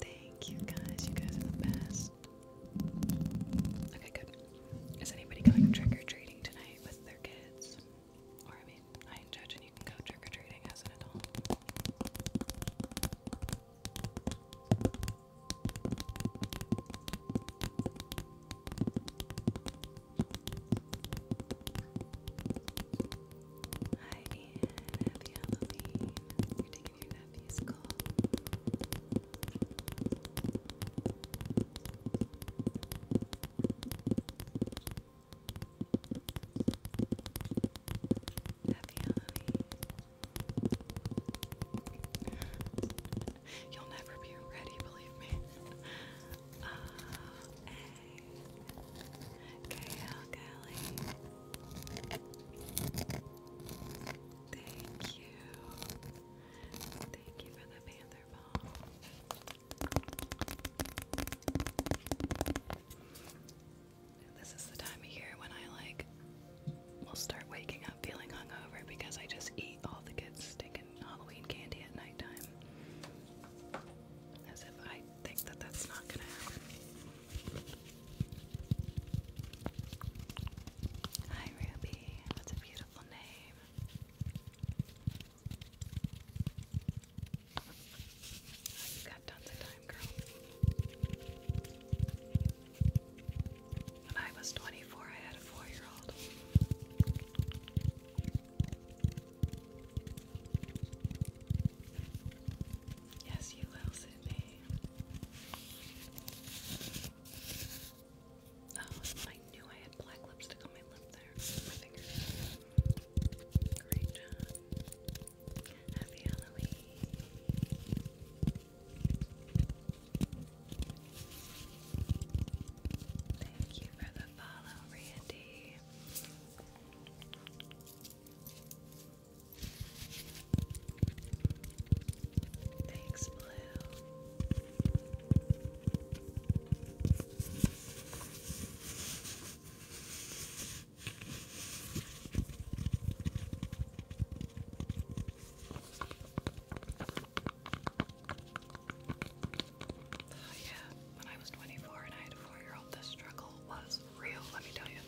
Thank you guys. You guys are the best. Okay, good. Is anybody going trick or treating tonight with their kids? Or, I mean, I ain't judging. You go trick or treating as an adult. Happy Halloween. You're taking your nephew's call. Happy Halloween. You'll never be ready, believe me. Uh, Thank you. Thank you for the panther ball. This is the time of year when I like will start waking up feeling hungover because I just eat all the kids' stinking Halloween candy at nighttime. As if I that's not gonna happen. Hi Ruby, that's a beautiful name. Oh, you got tons of time, girl. When I was 24, I had a four year old. Yes, you will, Sydney. Oh, I knew I had black lipstick on my lip there. My finger. Great job. Happy Halloween. Thank you for the follow, Randy. Thanks, Blue yeah, when I was 24 and I had a four-year-old, the struggle was real, let me tell you.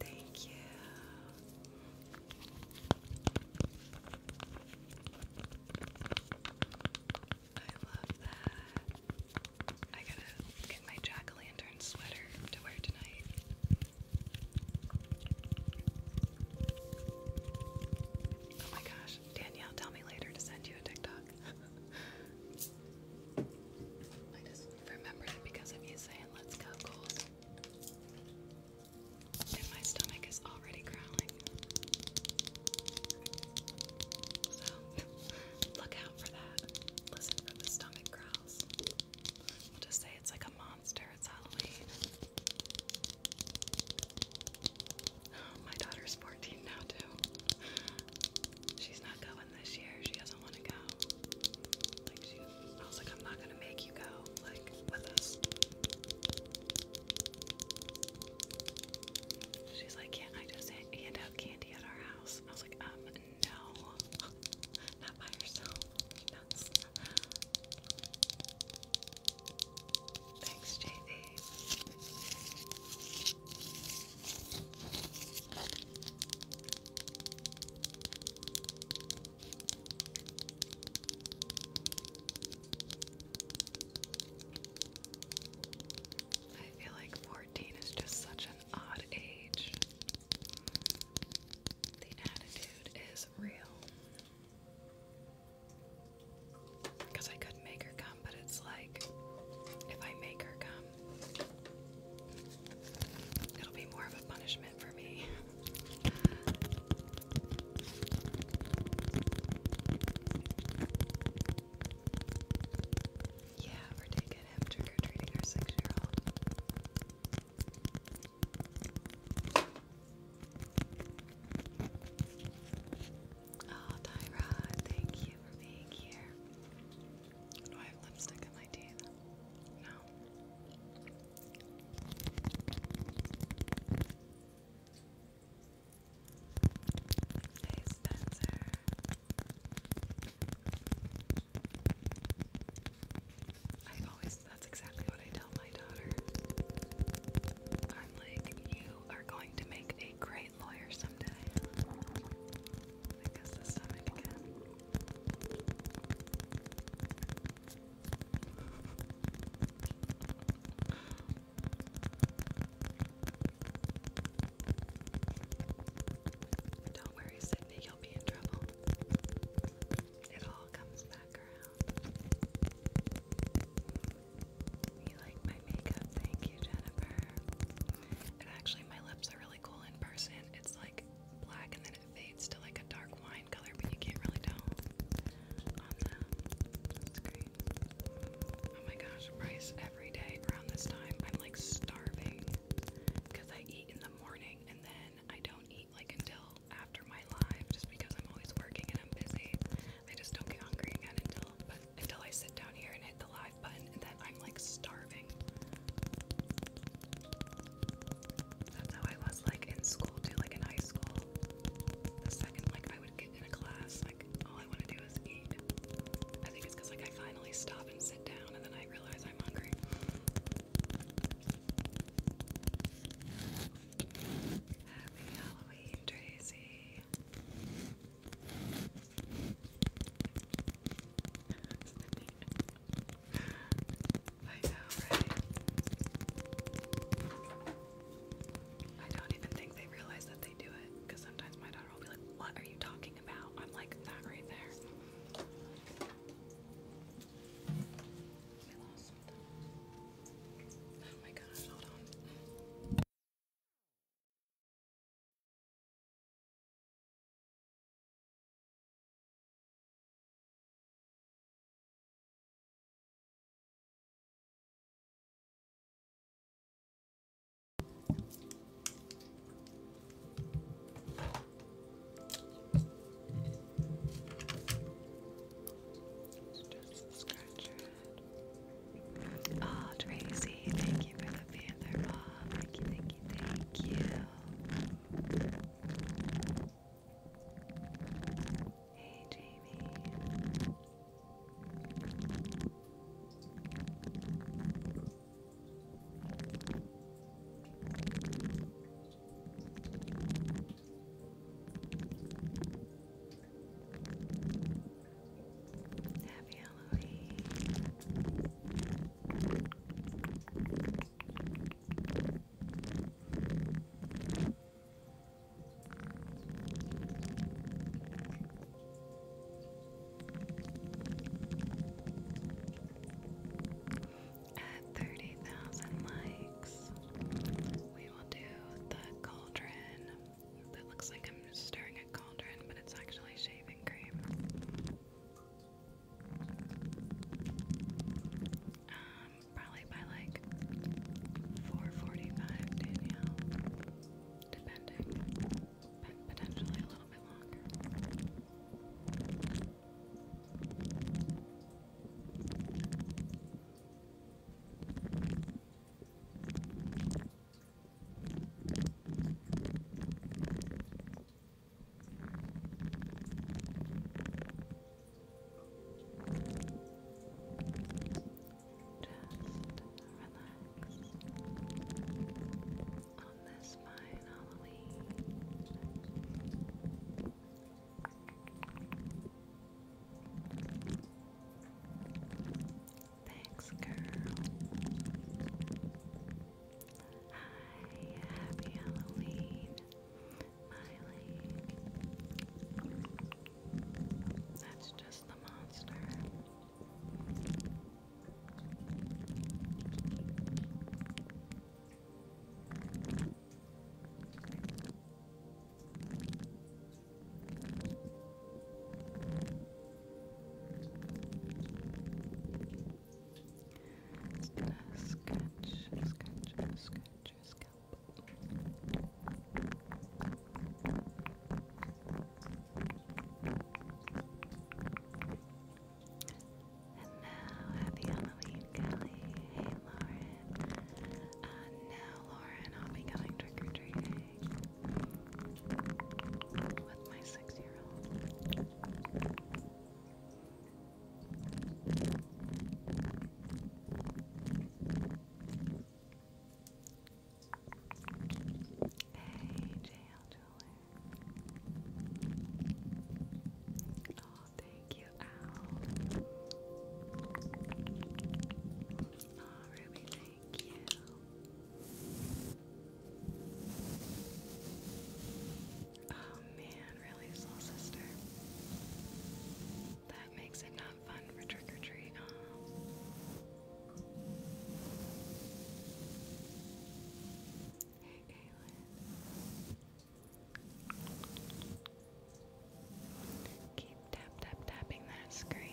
thank you. I love that. I gotta get my jack-o'-lantern sweater to wear tonight. Oh my gosh, Danielle, tell me later to send you a TikTok. I just remembered it because of you saying, let's go, Coles. my stomach is already growling. So, look out for that. Listen for the stomach growls just say it's like a monster. It's Halloween. my daughter's 14 now, too. She's not going this year. She doesn't want to go. Like, she, I was like, I'm not going to make you go, like, with us. She's like, can't I just hand out candy at our house? I was like, um, no, not by yourself. Thanks, JV. I feel like 14 is just such an odd age. The attitude is real. Because I could make her come, but it's like if I make her come, it'll be more of a punishment for me. Yeah, we're taking get him trick our six-year-old. Oh, Tyrod, thank you for being here. Do I have lipstick in my teeth? No. Hey, Spencer. I always, that's exactly what I tell my daughter. I'm like, you are going to make a great lawyer someday. Don't worry, Sydney, you'll be in trouble. It all comes back around. You like my makeup? Thank you, Jennifer. And actually, my lips are really cool in person. It's like black and then it fades to like a dark wine color, but you can't really tell Oh my gosh, Bryce every day around this time. I'm like starving because I eat in the morning and then I don't eat like until after my live just because I'm always working and I'm busy. I just don't get hungry until until I sit down here and hit the live button and then I'm like starving. That's how I was like in school too, like in high school. The second like I would get in a class, like all I want to do is eat. I think it's because like I finally stopped I Happy Halloween, Tracy. I know, right? I don't even think they realize that they do it because sometimes my daughter will be like, What are you talking I'm like that right there. Oh my gosh, hold on. Oh, Tracy, thank you for the feather Thank you, thank you, thank you. Hey, Jamie. Happy Halloween. At 30,000 likes, we will do the cauldron. That looks like I'm stirring a cauldron, but it's actually shaving cream. Um, probably by like 4:45, Danielle, depending but potentially a little bit longer relax on this fine Thanks, girl. Hi, happy Halloween, Miley. That's just the monster. Scratch, scratch, scratch your scalp. And now, happy Halloween, Kelly. Hey, Lauren. Uh, Lauren, I'll be going trick or treating with my six year old. Hey, JL Jeweler. Oh, thank you, Al. Oh, Ruby, thank you. Oh man, really, Soul Sister. That makes it not fun for trick or treat. Oh. Hey, Keep tap tapping that screen.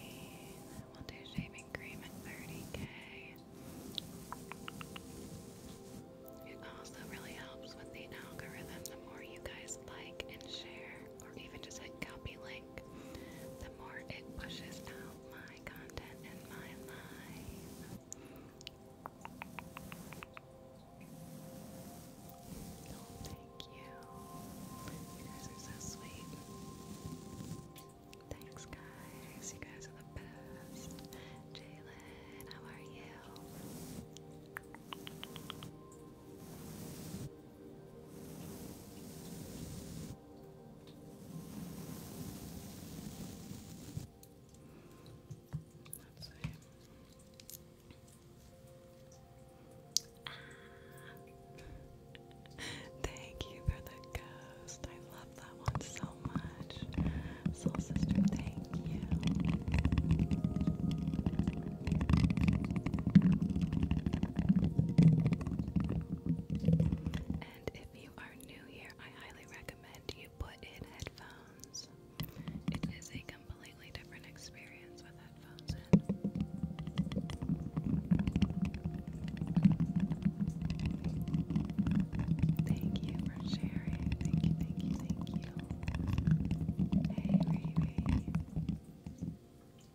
We'll do shaving cream at 30k. It also really helps with the algorithm the more you guys like and share, or even just copy link the more it pushes out my content and my life. Oh, thank you. You guys are so sweet. Thanks, guys. You guys are the best. Jalen, how are you? thank you for the ghost. I love that one so much. Soul Sister, thank you. And if you are new here, I highly recommend you put in headphones. It is a completely different experience with headphones Thank you for sharing. Thank you, thank you, thank you. Hey, Riri.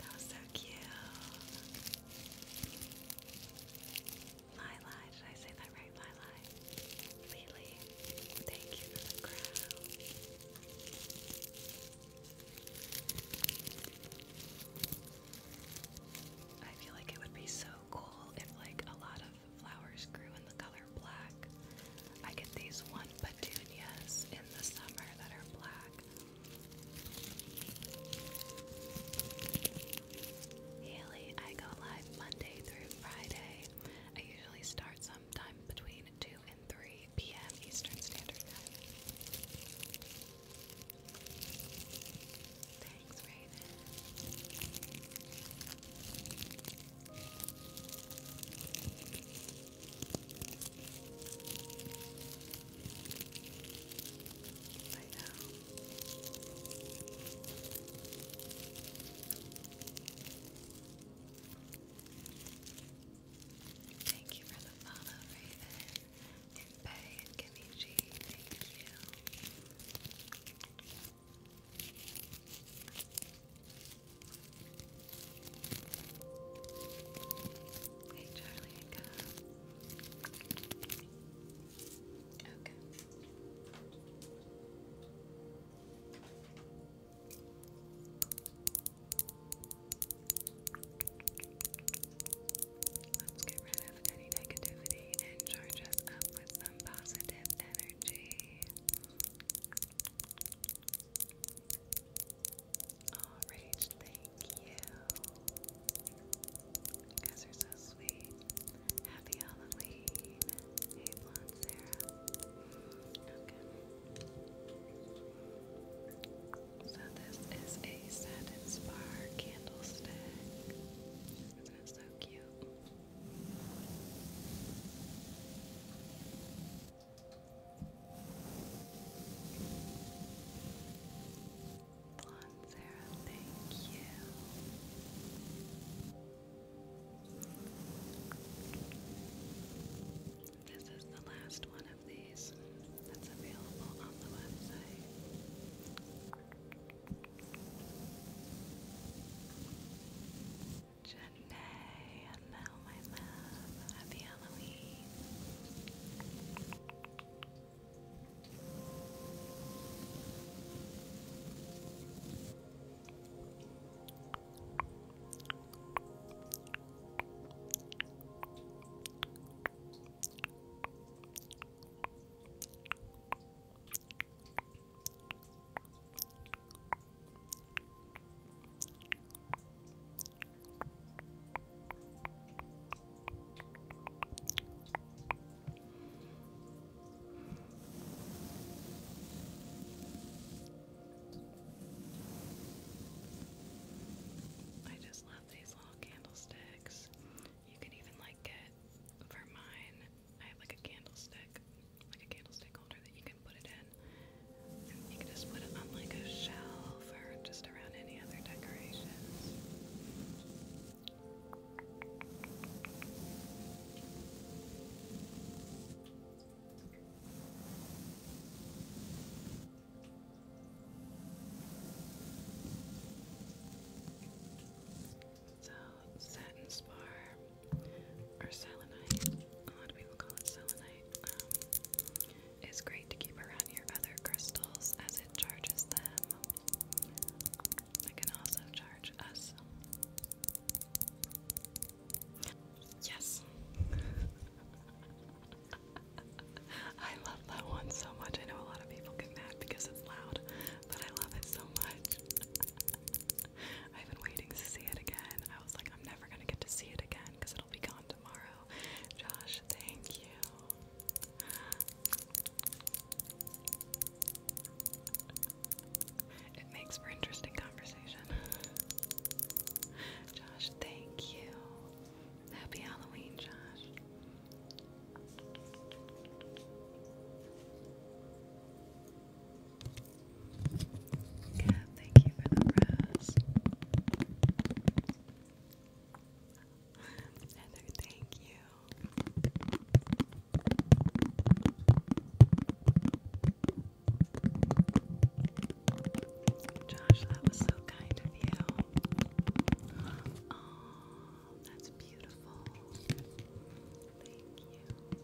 That was so cute. Lila, did I say that right? Lila? Lily, thank you for the crown. I feel like it would be so cool if like a lot of flowers grew in the color black. I get these one petunias in the summer that are black. Haley, I go live Monday through Friday. I usually start sometime between 2 and 3 p.m. Eastern Standard Time. Thanks, Raven. I know. Thank you for the follow, Raven. And Bay and Kimmy G, thank you. Hey, Charlie, Okay. Let's get rid of any negativity and charge us up with some positive energy. Oh, thank you. You guys are so sweet. Happy Halloween. Hey, blonde Sarah. So this is a satin spar candlestick. is so cute? Blonde Sarah, thank you. This is the last one of these that's available on the website. Janae, Mel, my love. Happy Halloween. I just love these little candlesticks. You can even like get for mine. I have like a candlestick, like a candlestick holder that you can can You can just put it on like a shelf or just around any other decorations. So, satin spar or selenite, a lot of people call it selenite um, great to keep around your other crystals as it charges them. It can also charge us. Yes. I love that one so much. I know a lot of people get mad because it's loud, but I love it so much. I've been waiting to see it again. I was like, I'm never going to get to see it again because it'll be gone tomorrow. Josh, thank you. It makes for interesting conversation. Josh, thank you. Happy Halloween, Josh. Kat, thank you for the rose. Heather, thank you. Josh, that was so kind of you. Oh, that's beautiful. Thank you.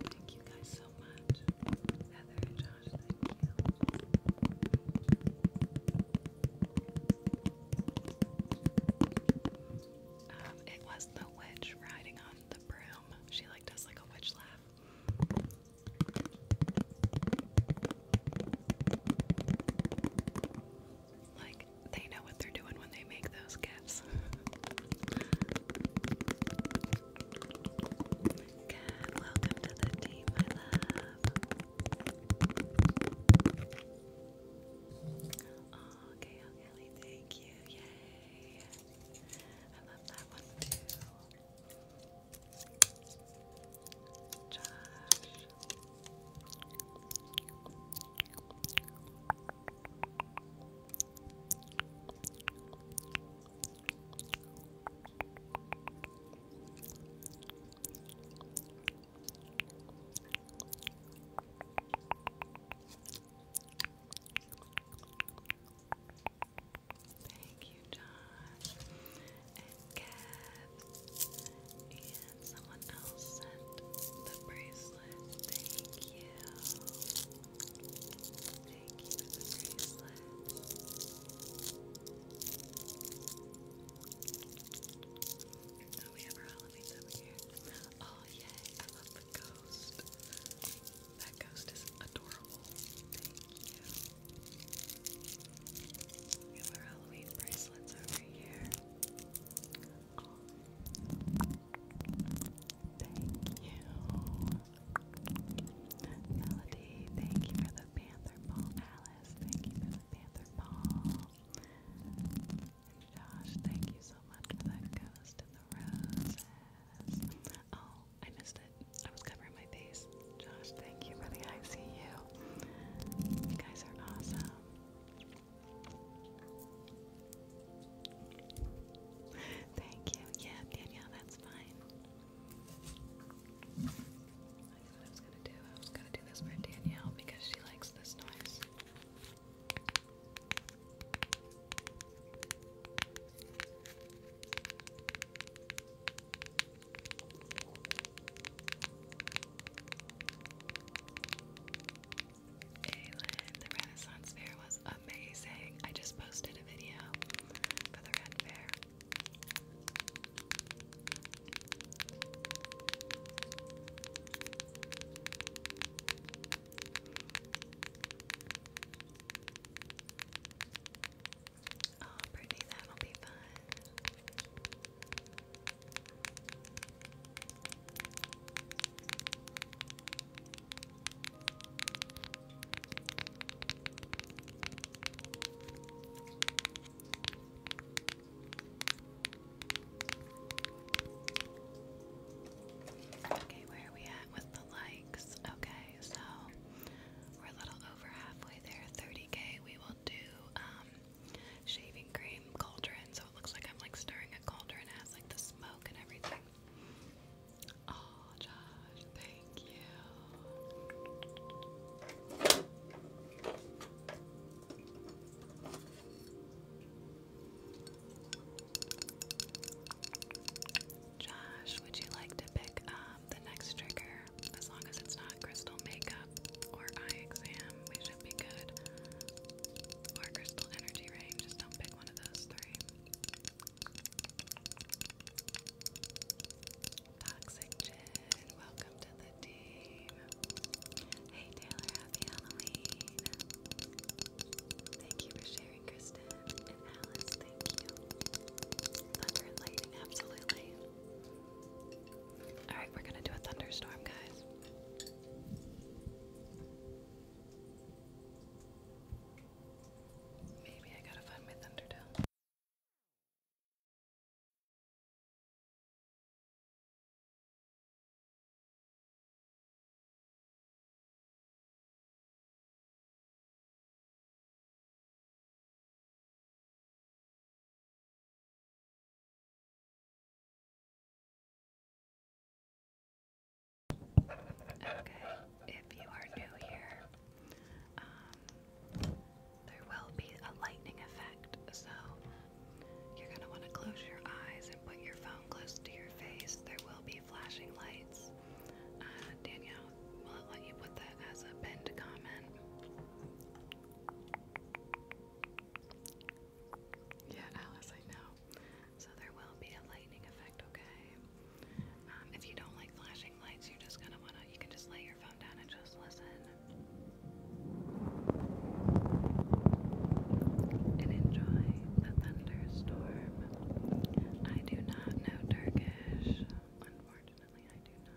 Thank you guys so much. Heather Josh. Um, it was the witch riding on the broom. She liked us like a witch laugh. Like they know what they're doing when they make those gifts. welcome to the team, my love. Oh, okay, Kelly, thank you. Yay. I love that one too. Josh. Thank you, Josh and Kat. And someone else sent the bracelet. Thank you. Thank you we have our Halloween over here. Oh, yay! I love the ghost. That ghost is adorable. Thank you. We have our Halloween bracelets over here. Thank you. Melody, thank you for the panther ball. Alice, thank you for the panther ball. And Josh, thank you so much for that ghost and the roses. Oh, I missed it. I was covering my face. Josh, thank you for the ICU. You guys are awesome. Thank you. Yeah, yeah, that's fine. That's what I was gonna do. I was gonna do this for Danielle because she likes this noise. Aylin, the Renaissance Fair was amazing. I just posted a video for the Red Fair. Oh, Brittany, that'll be fun. Okay, where are we at with the likes? Okay, so we're a little over halfway there, 30k. We will do um, shaving cream cauldron, so it looks like I'm like stirring a cauldron, it has like the smoke and everything. Oh, Josh, thank you. Josh, would you like to pick up the next trigger? As long as it's not crystal makeup or eye exam, we should be good. Or crystal energy rain, just don't pick one of those three. Toxicgen, welcome to the team. Hey Taylor, happy Halloween. Thank you for sharing, Kristen and Alice. Thank you. Thunder lightning, absolutely. All right, we're gonna do a thunderstorm, guys. Maybe I gotta find my Thunderdome. Okay, if you are new here, um, there will be a lightning effect, so you're going to want to close your eyes and put your phone close to your face. There will be flashing lights. Uh, will it let you put that as a pinned comment? Yeah, Alice, I know. So there will be a lightning effect, okay? Um, if you don't like flashing lights, you're just gonna wanna, you can just lay your phone down and just listen. And enjoy the thunderstorm. I do not know Turkish. Unfortunately, I do not.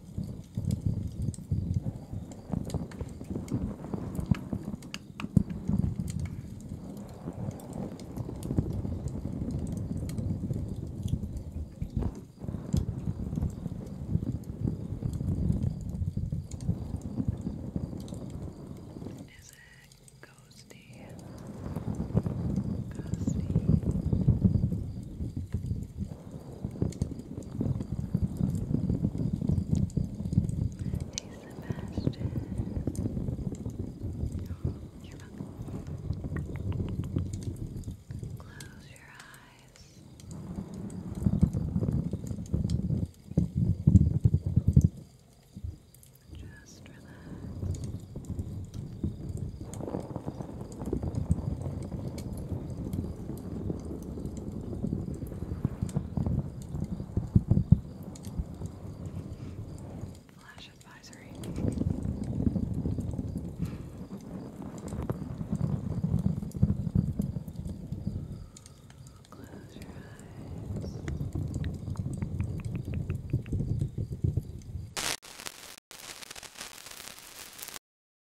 Is it ghosty? Ghosty. Hey Sebastian. you Close your eyes. Just Relax. Flash advisory. Close your eyes.